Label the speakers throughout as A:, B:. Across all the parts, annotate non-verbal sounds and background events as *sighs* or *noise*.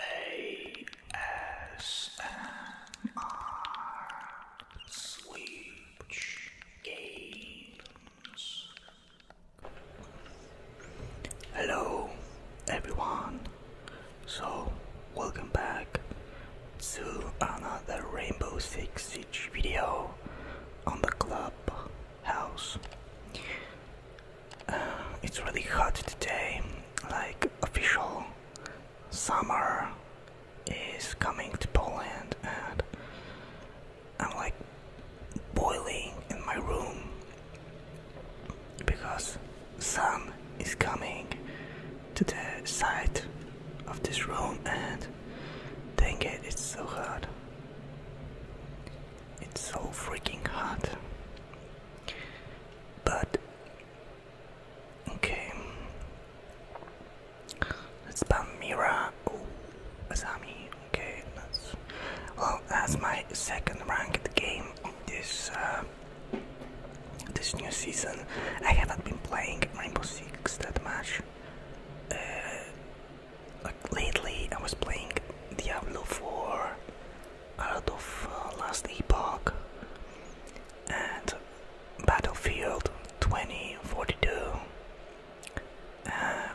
A: ASMR Switch Games. Hello, everyone. So, welcome back to another Rainbow Six Siege video on the club it's really hot today like official summer is coming to Poland and I'm like boiling in my room because sun is coming to the side of this room and dang it it's so hot it's so freaking hot but okay, it's Palmyra. Oh, Asami. Okay, that's well. That's my second ranked game this uh, this new season. I haven't been playing Rainbow Six that much. Uh, like lately, I was playing Diablo 4 out of uh, last epoch and Battlefield 2042, uh,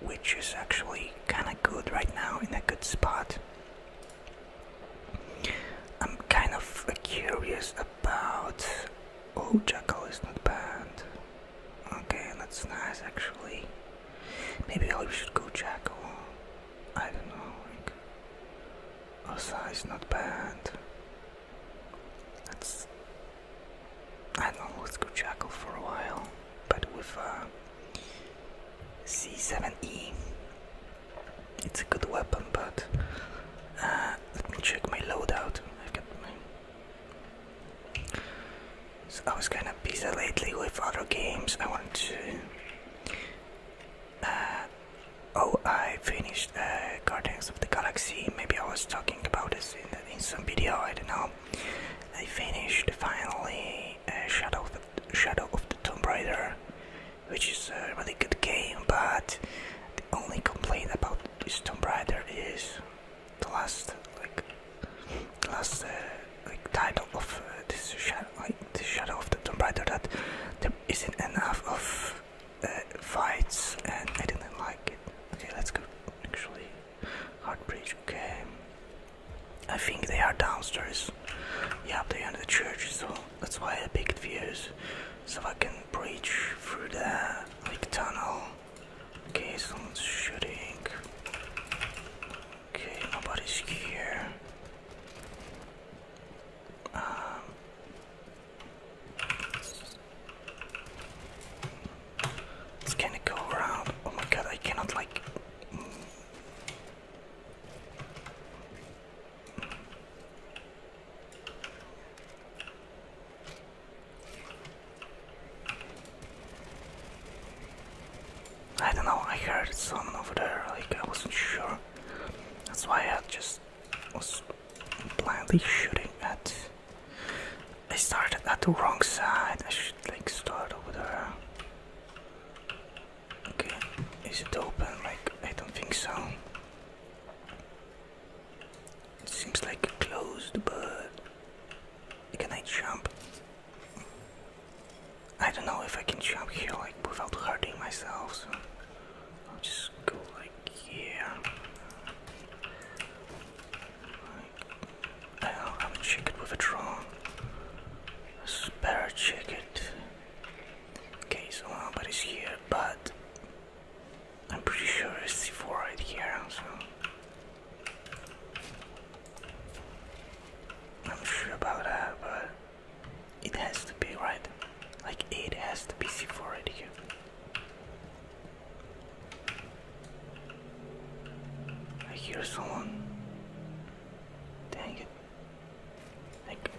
A: which is actually kind of good right now in a good spot. I'm kind of curious about. Oh, Jackal is not banned. Okay, that's nice actually. Maybe I should go Jackal. I don't know, like Osa is not bad. That's I don't know, let good jackal for a while, but with uh, C7E, it's a good weapon. But uh, let me check my loadout. I've got my. So I was kind of busy lately with other games. I wanted to uh, oh, I finished uh, Guardians of the Galaxy. Maybe I was talking about this in, some video. I don't know. I finished finally uh, Shadow of the, Tomb Raider, which is a really good game. But the only complaint about this Tomb Raider is the last, like, the last like title of uh, this shadow, like the shadow of the Tomb Raider, that there isn't enough of uh, fights, and I didn't like it. Okay, let's go. Actually, hard Heartbridge. Okay, I think they are downstairs. Yeah, they are in the church, so that's why I picked views, so I can breach through the like tunnel. Okay, someone's shooting. Okay, nobody's here. Um, it's gonna go around. Oh my god, I cannot like. I don't know, I heard someone over there, like I wasn't sure. That's why I just was blindly shooting at. I started at the wrong side, I should like start over there. Okay, is it open? Like, I don't think so. It seems like closed, but. Can I jump? I don't know if I can jump here without hurting myself, so I'll just go like here. I don't know, check it with a drone. Spare check it. Okay, so nobody's here, but I'm pretty sure it's C4 right here, so. I'm sure about that, but it has to be, right? Like, it has to be C4 right here. I hear someone. Dang it. Like,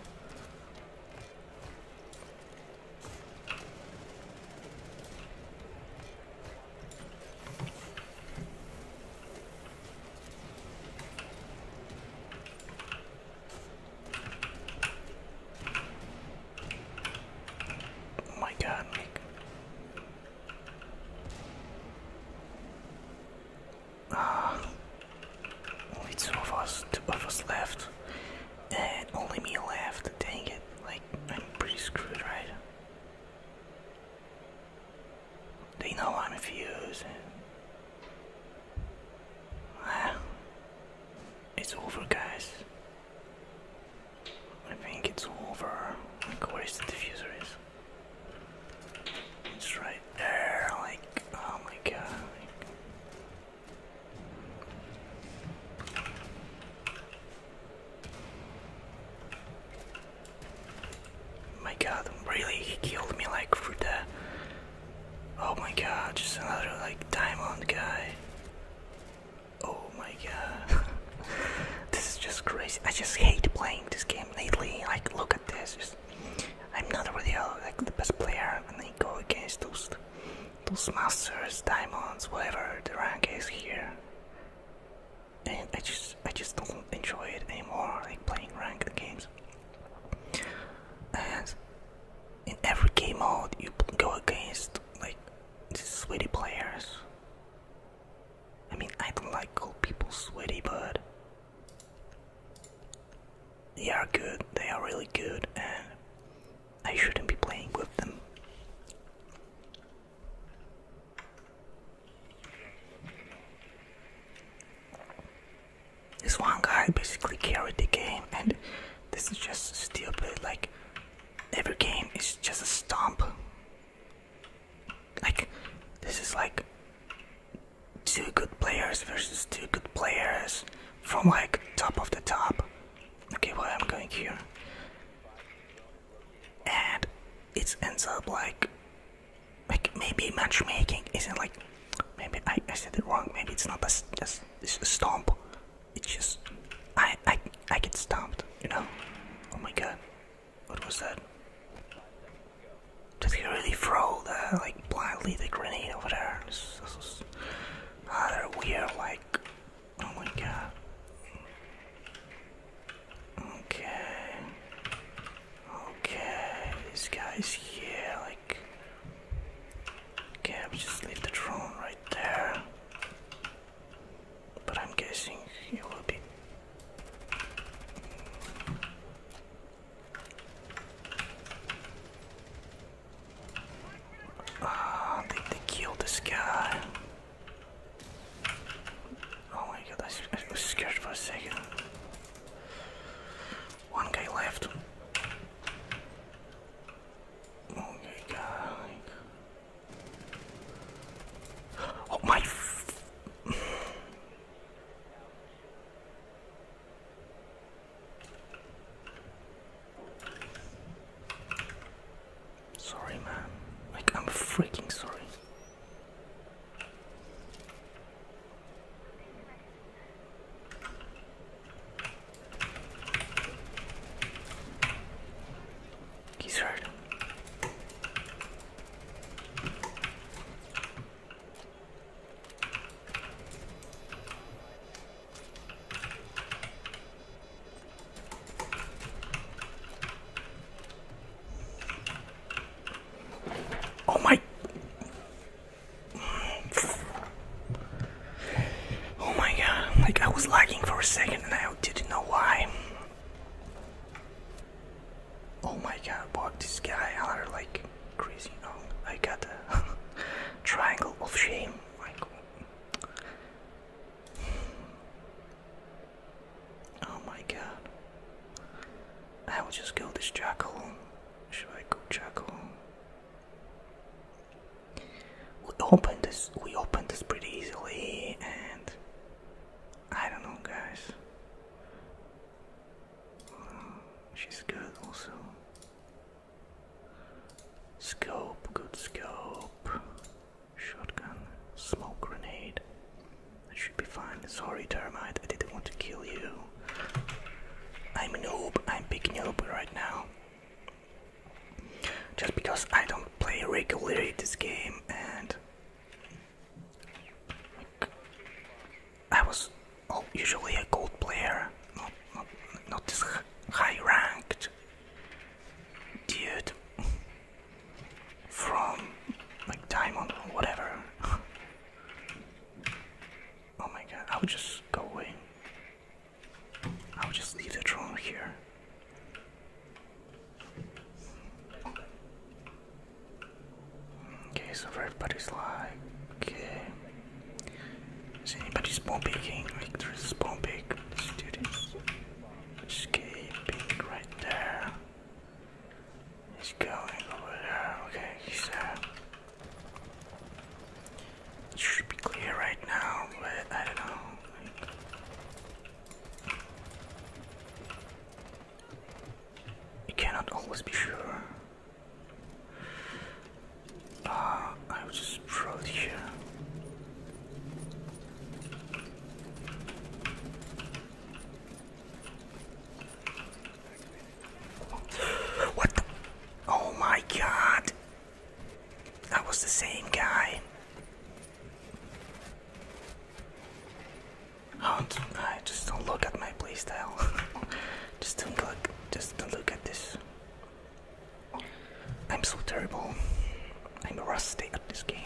A: Oh my god, Ah, only two of us left, and only me left. Dang it! Like I'm pretty screwed, right? They know I'm infused. Well, it's over, guys. I think it's over. where is the diffuser? Is it's right there. Like, oh my god. My god, really? He killed me like for the. Oh my god, just another like diamond guy. Oh my god. *laughs* this is just crazy. I just hate playing this game lately. Like, look at this. Just, I'm not really uh, like the best player, and I go against those, those masters, diamonds, whatever the rank is here. And I just, I just don't enjoy it anymore. Like playing ranked games. And in every game mode, you go against like these sweaty players. I mean, I don't like cold people sweaty, but they are good. They are really good, and I shouldn't be playing with them. This one guy basically carried the game, and this is just stupid. Like, every game is just a stomp. Like, this is like two good players versus two good players from like top of the top. Okay, well, I'm going here. And it ends up like like maybe matchmaking isn't like maybe I, said it wrong maybe it's not just just a stomp it's just I, I I get stomped you know oh my god what was that did he really throw the like blindly the grenade over there this, this was weird like oh my god okay Okay, this guy's here, like... Okay, i just leave the drone right there. But I'm guessing it will be... Ah, they killed this guy. Oh my god, I, was scared for a second. One guy left. Oh my god. Oh my. *sighs* sorry, man. Like, I'm freaking sorry. He's hurt. Oh my. Oh my god, like I was lagging for a second and I didn't know why. Oh my god, what this guy are like crazy. Oh, I got a triangle of shame. oh my god. I will just go this jackal. Should I go jackal? We opened this. We opened this pretty easily, and I don't know, guys. Mm, she's good, also. Scope, good scope. Shotgun, smoke grenade. I should be fine. Sorry, termite, I didn't want to kill you. I'm a noob, I'm picking you up right now. Just because I don't play regularly this game and I was oh, usually a gold player, not not not this high ranked dude *laughs* from like diamond or whatever. *laughs* Oh my god, I would just go away. I would just leave the drone here. Okay, so everybody's like, okay. Is anybody spawn picking? Like, there's a Escaping right there. He's going over there. Okay, he's there. It should be clear right now, but I don't know. You cannot always be sure. Uh, I will just throw here. What? Oh my god. That was the same guy. Oh, I just don't look at my playstyle. *laughs* just don't look. Just don't look at this. I'm so terrible. I'm rusty at this game.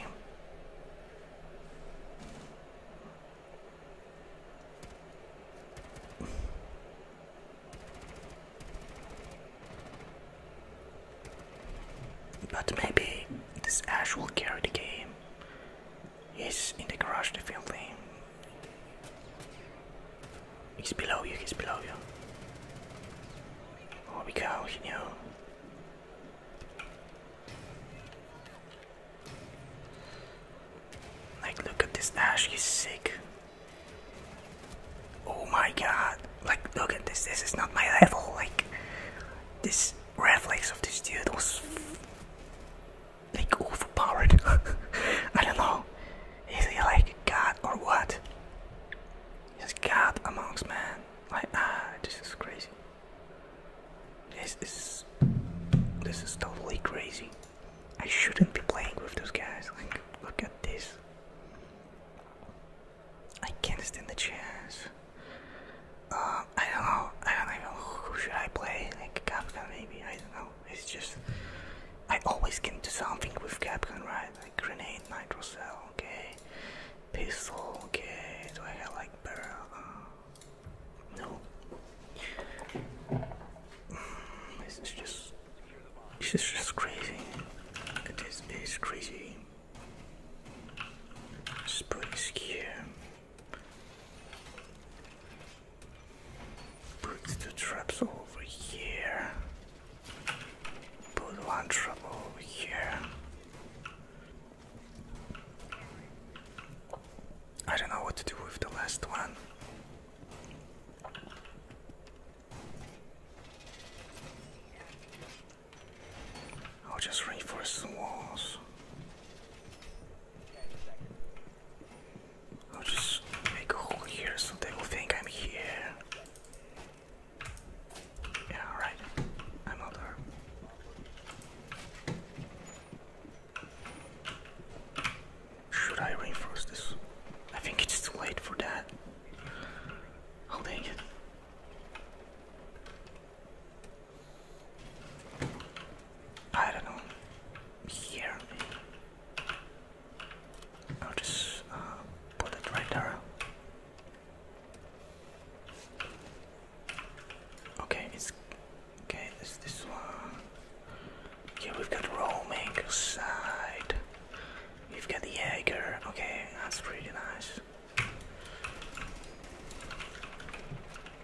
A: But maybe this Ash will carry the game. He's in the garage definitely. He's below you, he's below you. Oh we go, he knew. Like, look at this Ash, he's sick. Oh my god. Like, look at this. This is not my level. Like, this reflex of this dude was. Like, overpowered. *laughs* I don't know. Is he like god or what? He's god amongst men? Like, ah, this is crazy. This is this is totally crazy. I shouldn't be playing with those guys. Like, look at this. I can't stand the chance. Uh, I don't know. I don't even know who should I play. Like Capcom, maybe. I don't know. It's just I always can do something with Capcom, right? Like grenade, nitro cell, okay. Pistol, okay. Do I have like barrel? No. This is just. This is just crazy. It is, it is crazy. put this here. Put the traps over here. Put one trap over here. I don't know what to do with the last one. I'll just reinforce the walls. I'll just make a hole here so they will think I'm here. Yeah, alright. I'm out there. Should I reinforce this? I think it's too late for that. I'll it. I don't know. Here. I'll just uh, put it right there. Okay, it's okay. It's this one. Yeah, we've got roaming side. We've got the Jaeger. Okay, that's pretty nice.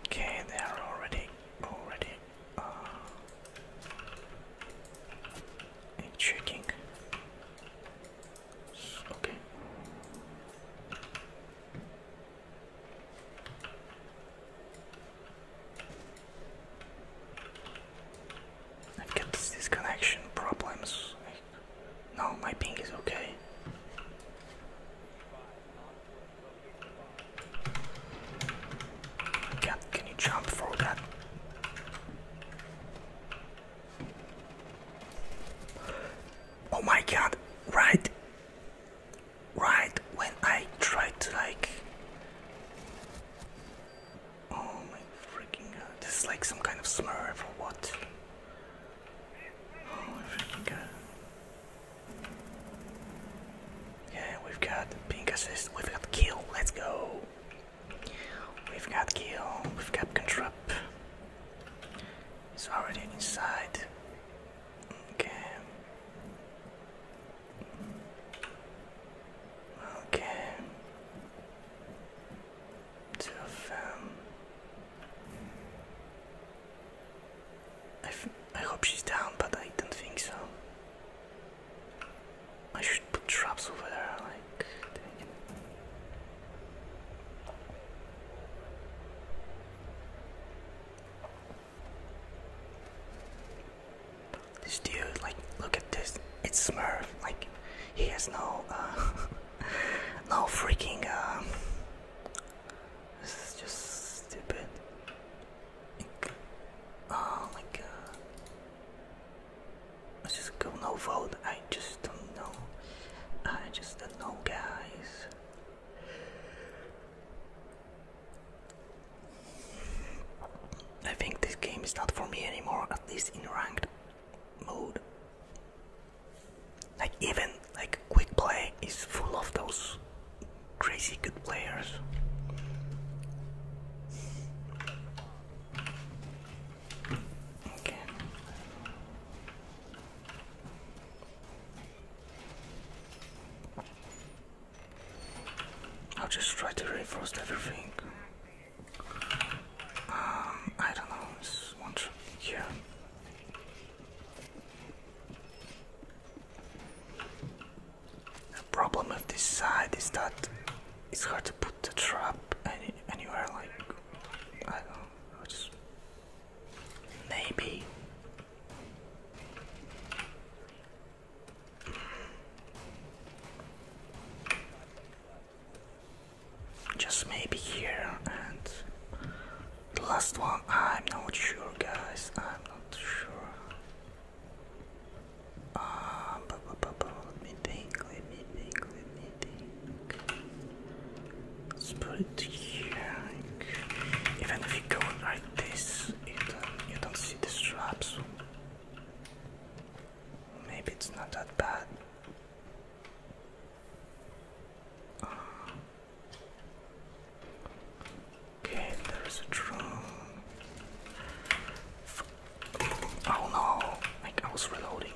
A: Okay, they are already already uh, checking. Okay. I've got connection problems. No, my ping is okay. God, can you jump for that? Oh my god, right? right when I tried to like oh my freaking god this is like some kind of smurf or what oh my freaking god yeah we've got pink assist we've got kill let's go we've got kill we've got contrap it's already inside Okay. Okay. Two of I, I hope she's down, but I don't think so. I should put traps over there, like. This dude, like, look at this. It's Smurf. Like, he has no, uh, *laughs* no freaking. Um, this is just stupid. oh my god. Let's just go no vote. I just don't know. I just don't know, guys. I think this game is not for me anymore, at least in ranked mode. Like even like quick play is full of those crazy good players. Okay. I'll just try to reinforce everything. Um, I don't know, it's one trip The problem with this side is that it's hard to put the trap any, anywhere, like, I don't know, just maybe just maybe here and the last one. I'm not sure, guys. I'm not sure. Uh, um, but, but, but, but, let me think. Let me think. Let me think. Let's put it here. Even if you go, I this, you don't, see the straps. Maybe it's not that bad. okay, there is a drone. Oh no! Like I was reloading.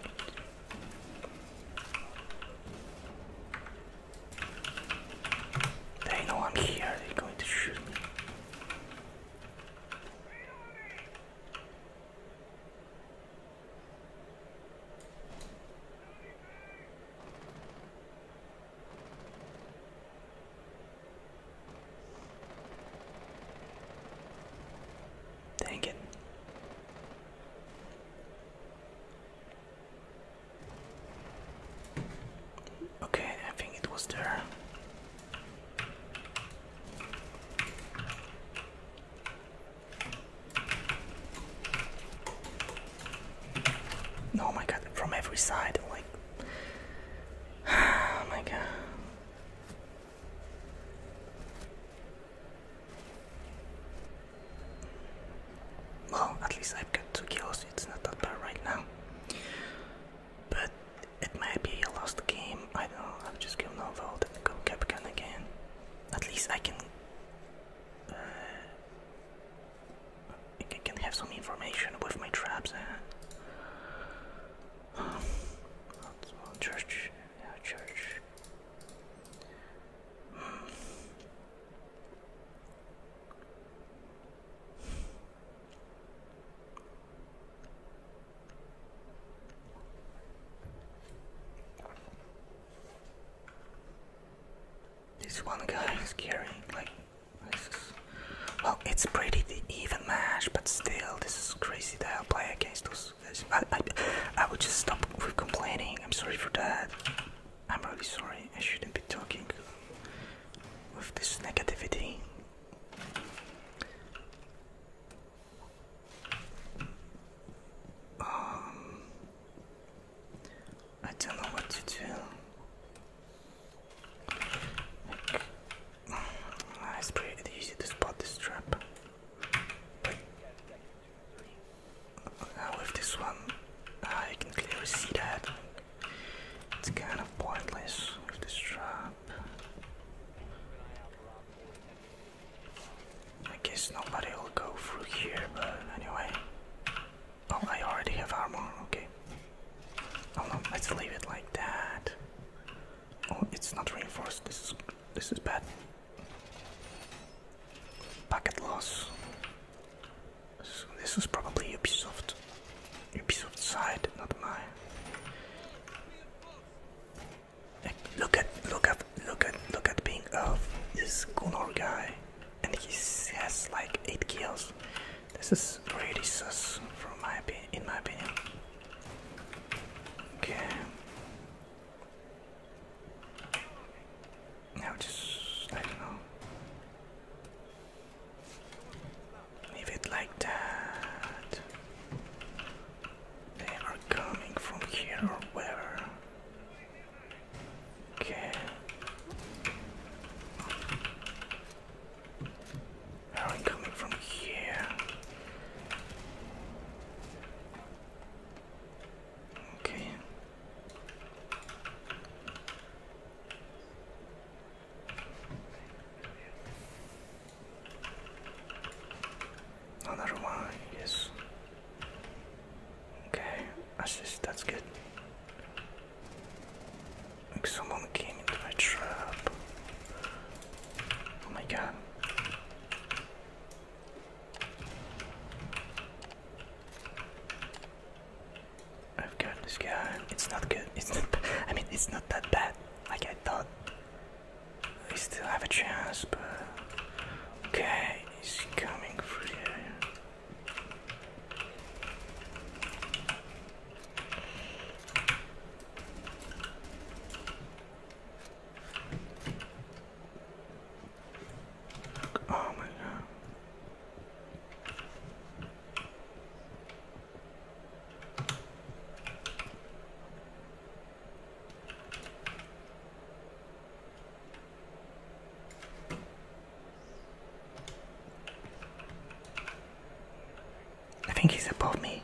A: They know I'm here, they're going to shoot me. Thank it. Okay, I think it was there. Oh my god, from every side, like. *sighs* Oh my god. Well, at least I've got two kills, it's not that bad right now. But it might be a lost game, I don't know, i have just kill Novold and go Capcom again. At least I can... Uh, I can have some information with my traps and... church, church. Hmm. This one guy is carrying like this well it's pretty even match but still this is crazy that I play against those guys. I, I, I would just stop with complaining. I'm sorry for that. I'm really sorry, I shouldn't be talking with this negativity. Um, I don't know what to do. Like, it's *sighs* pretty easy to spot this trap with this one, I can clearly see that. It's kind of pointless with this trap. I guess nobody will go through here, but anyway. Oh, I already have armor, okay. Oh no, let's leave it like that. Oh, it's not reinforced, this is, this is bad. Bucket loss. So this was probably Ubisoft, Ubisoft side, not mine. Look at, look at, look at, look at being of this Gunnar guy, and he has like eight kills. This is really sus, from my in my opinion. Okay. Now just I don't know. Leave it like that. They are coming from here or wherever. Okay. They coming from here. Okay. Another one, yes. Okay, assist, that's good. Like someone came into my trap. Oh my god. I've got this guy. It's not good. It's not. I mean, it's not that bad. Like I thought. We still have a chance, but okay, he's coming for you. Oh my god. I think he's above me.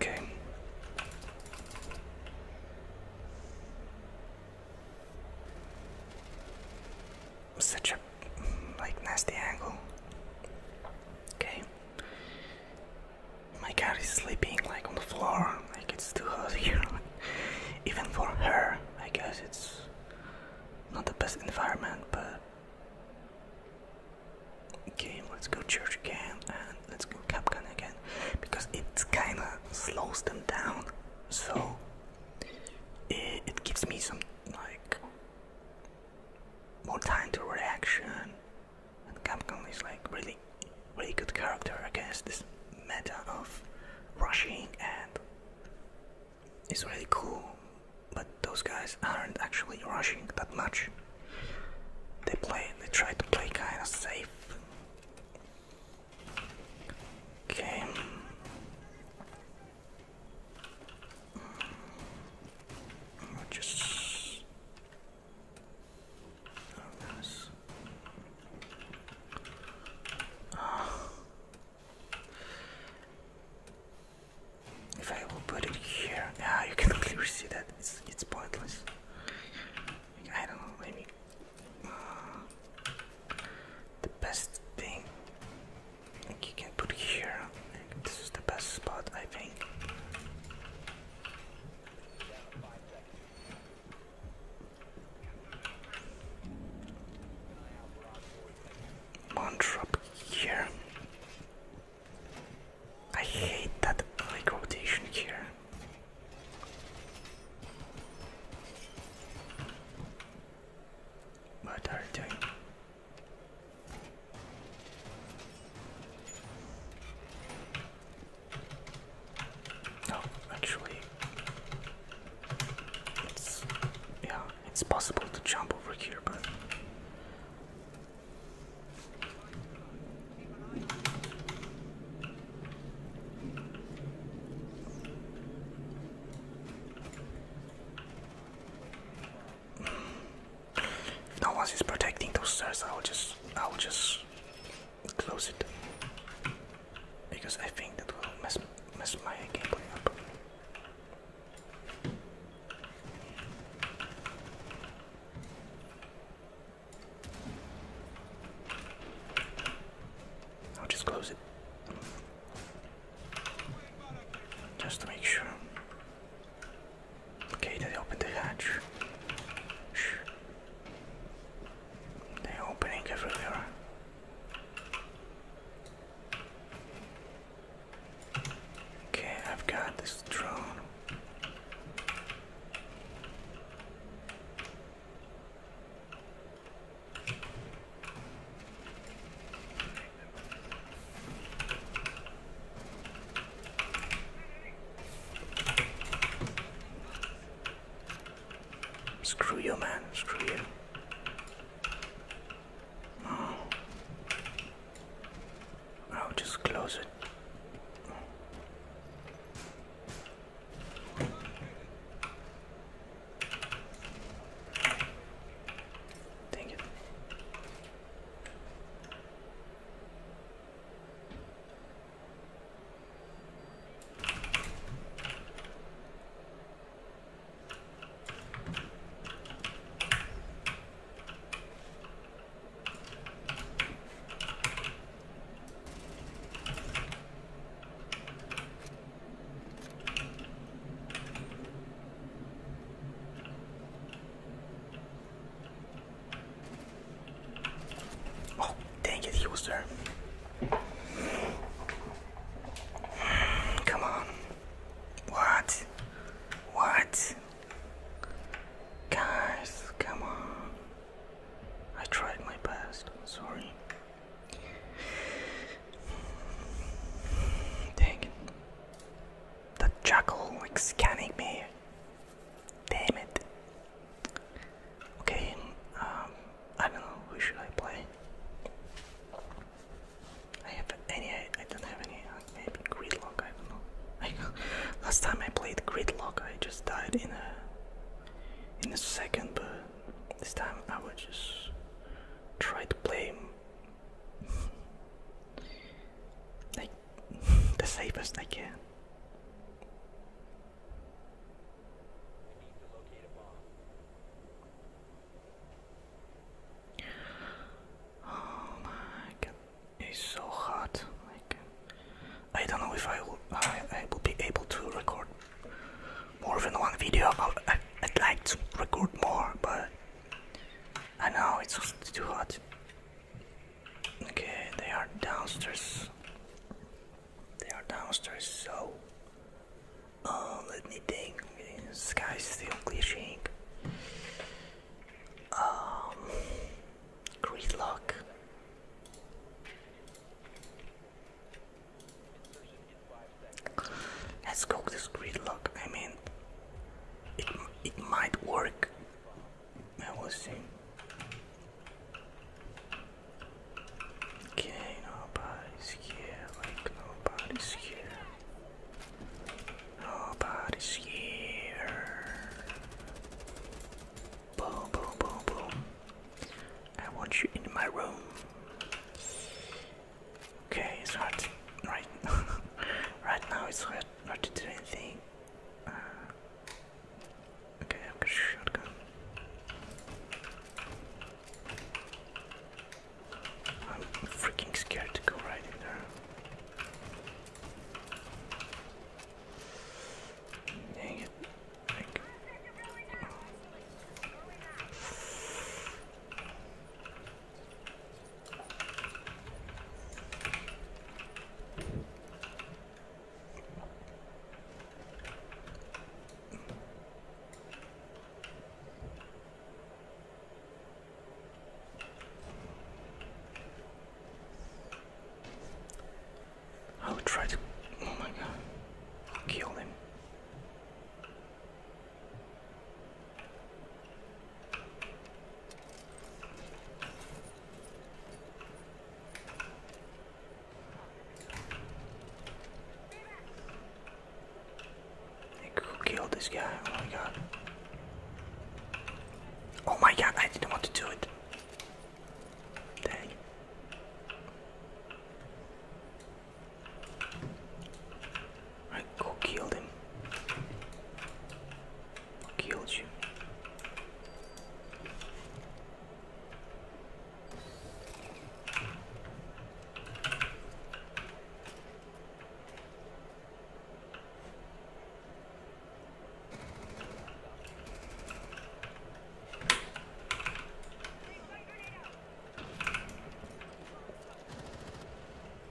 A: Okay. Such a like nasty angle. Okay. My cat is sleeping like on the floor, like it's too hot here. *laughs* Even for her, I guess it's not the best environment, but okay, let's go church again and let's go Capcan again because it kinda slows them down, so it gives me some like more time to reaction. And Capcom is like really, really good character against this meta of rushing and it's really cool. But those guys aren't actually rushing that much. They play, they try to play kind of safe. Okay. Just oh, nice. If I will put it here, yeah, you can *laughs* clearly see that it's it's pointless. I don't know, maybe uh, the best thing you can put here. this is the best spot, I think. One here. I hate that like here. What are you doing? Oh, actually, it's yeah, it's possible to jump over here, but. If no one protecting those stairs, I will just, I will just close it because I think that will mess mess my gameplay up. I'll just close it. Just to make sure. Okay, they opened the hatch. They're opening everywhere. Okay, I've got this drone. Screw you, man. Screw you. Oh. I'll just close it. Dang it. Oh, dang it, he was there. Come on. What? What? Guys, come on. I tried my best. Sorry. Dang it. The jackal is scanning me. Damn it. Okay, um, I don't know who should I play. I have any. I don't have any. Uh, maybe gridlock. I don't know. *laughs* I, last time I played gridlock, I just died in a in a second. But this time I will just try to play like *laughs* the safest I can. Oh my god, it's so hot. Like, I don't know if I will, I, will be able to record more than one video. I'll, I, will i would like to record more, but I know it's too hot. Okay, they are downstairs. They are downstairs, so um, let me think. The sky is still glitching. Um, great luck. Let's go with this gridlock. I mean, it it might work. I will see. Okay, nobody's here. Like nobody's here. Nobody's here. Boom, boom, boom, boom. I want you in my room. Okay, it's hard right *laughs* right now it's hard not to do anything. Uh, okay, shotgun. I'm freaking scared to go right in there. Dang it. I will try to, oh my god, kill him who killed this guy? Oh my god. Oh my god, I didn't want to do it. Dang. Right, who killed him? killed you?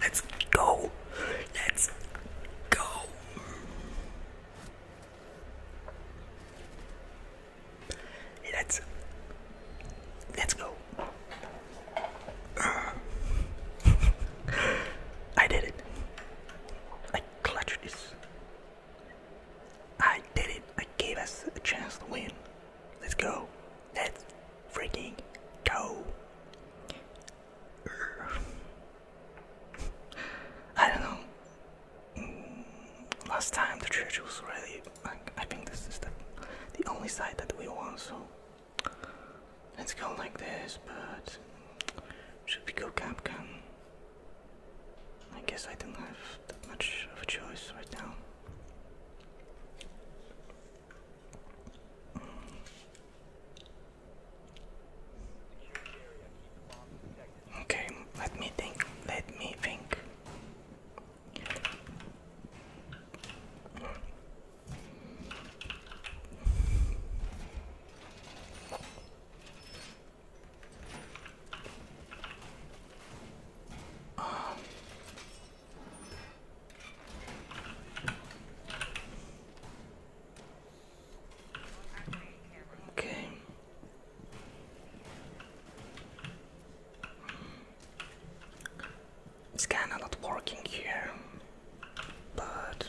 A: Let's go. Let's go. Let's Let's go. *laughs* I did it. I clutched this. I did it. I gave us a chance to win. Let's go. Let's freaking go. I don't know. last time the church was really. I, think this is the, the only side that we want, so let's go like this. But should we go camp camp? I guess I don't have that much of a choice right now. Okay, let me think. Let me think. Um, Okay. It's kinda not working here, but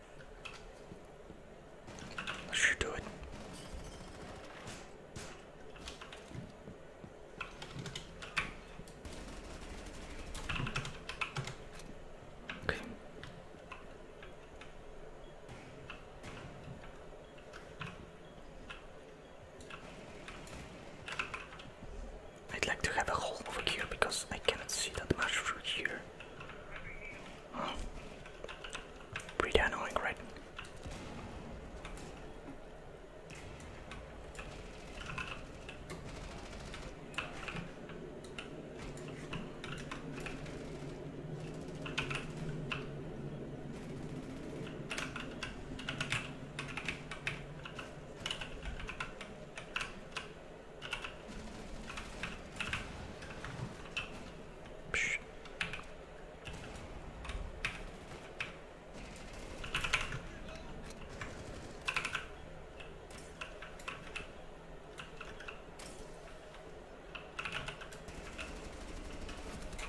A: I should do it. Okay. I'd like to have a hole over here because I cannot see that much through here. Pretty annoying, right?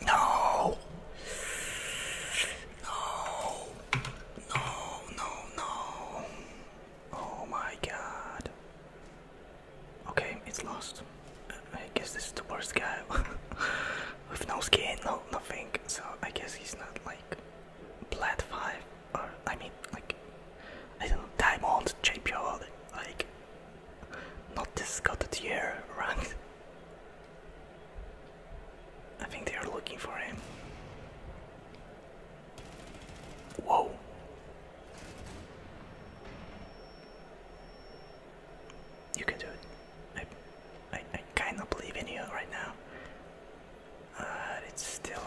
A: No. No. No, no, no. Oh my god. Okay, it's lost. Uh, I guess this is the worst guy *laughs* with no skin, no nothing. So I guess he's not like plat five or I mean like I don't know diamond champion like not this got a tier ranked. I think they are looking for him. Whoa, you can do it. I, I, I kind of believe in you right now. Uh, it's still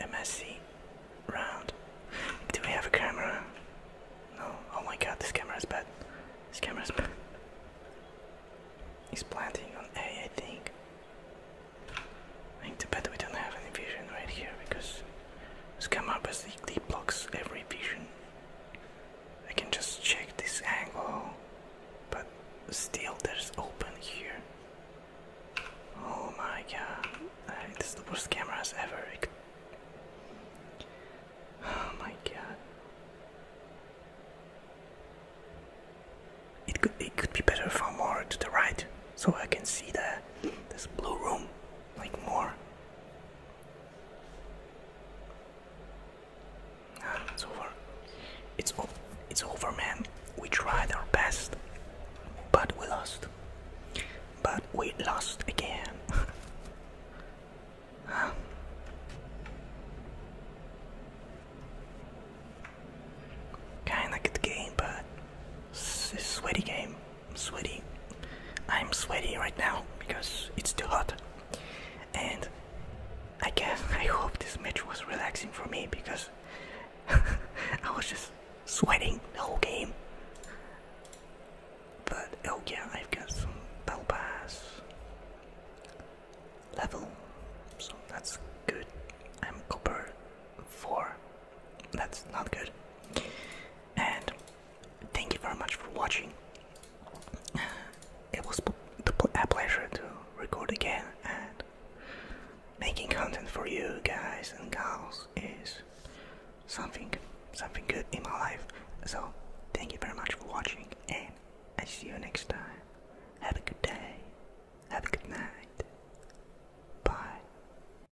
A: a, a messy round. Do we have a camera? No. Oh my god, this camera is bad. This camera is bad. He's planting on A, I think. I think too bad we don't have any vision right here because it's come up as it, it blocks every vision. I can just check this angle, but still there's open here. Oh my god, uh, it's the worst cameras ever. Oh my god. It could it could be better from more to the right, so I can see the this blue room like more. Ah, it's over. It's over. It's over, man. We tried our best, but we lost. But we lost again. *laughs* huh? Kinda good game, but it's a sweaty game sweaty. I'm sweaty right now because it's too hot. And I guess *laughs* I hope this match was relaxing for me because *laughs* I was just sweating the whole game. But oh yeah, I've got some bell pass level, so that's good. I'm copper four. That's not good and thank you very much for watching. It was a pleasure to record again and making content for you guys and gals is something something good in my life. So thank you very much for watching and I see you next time. Have a good day. Have a good night. Bye.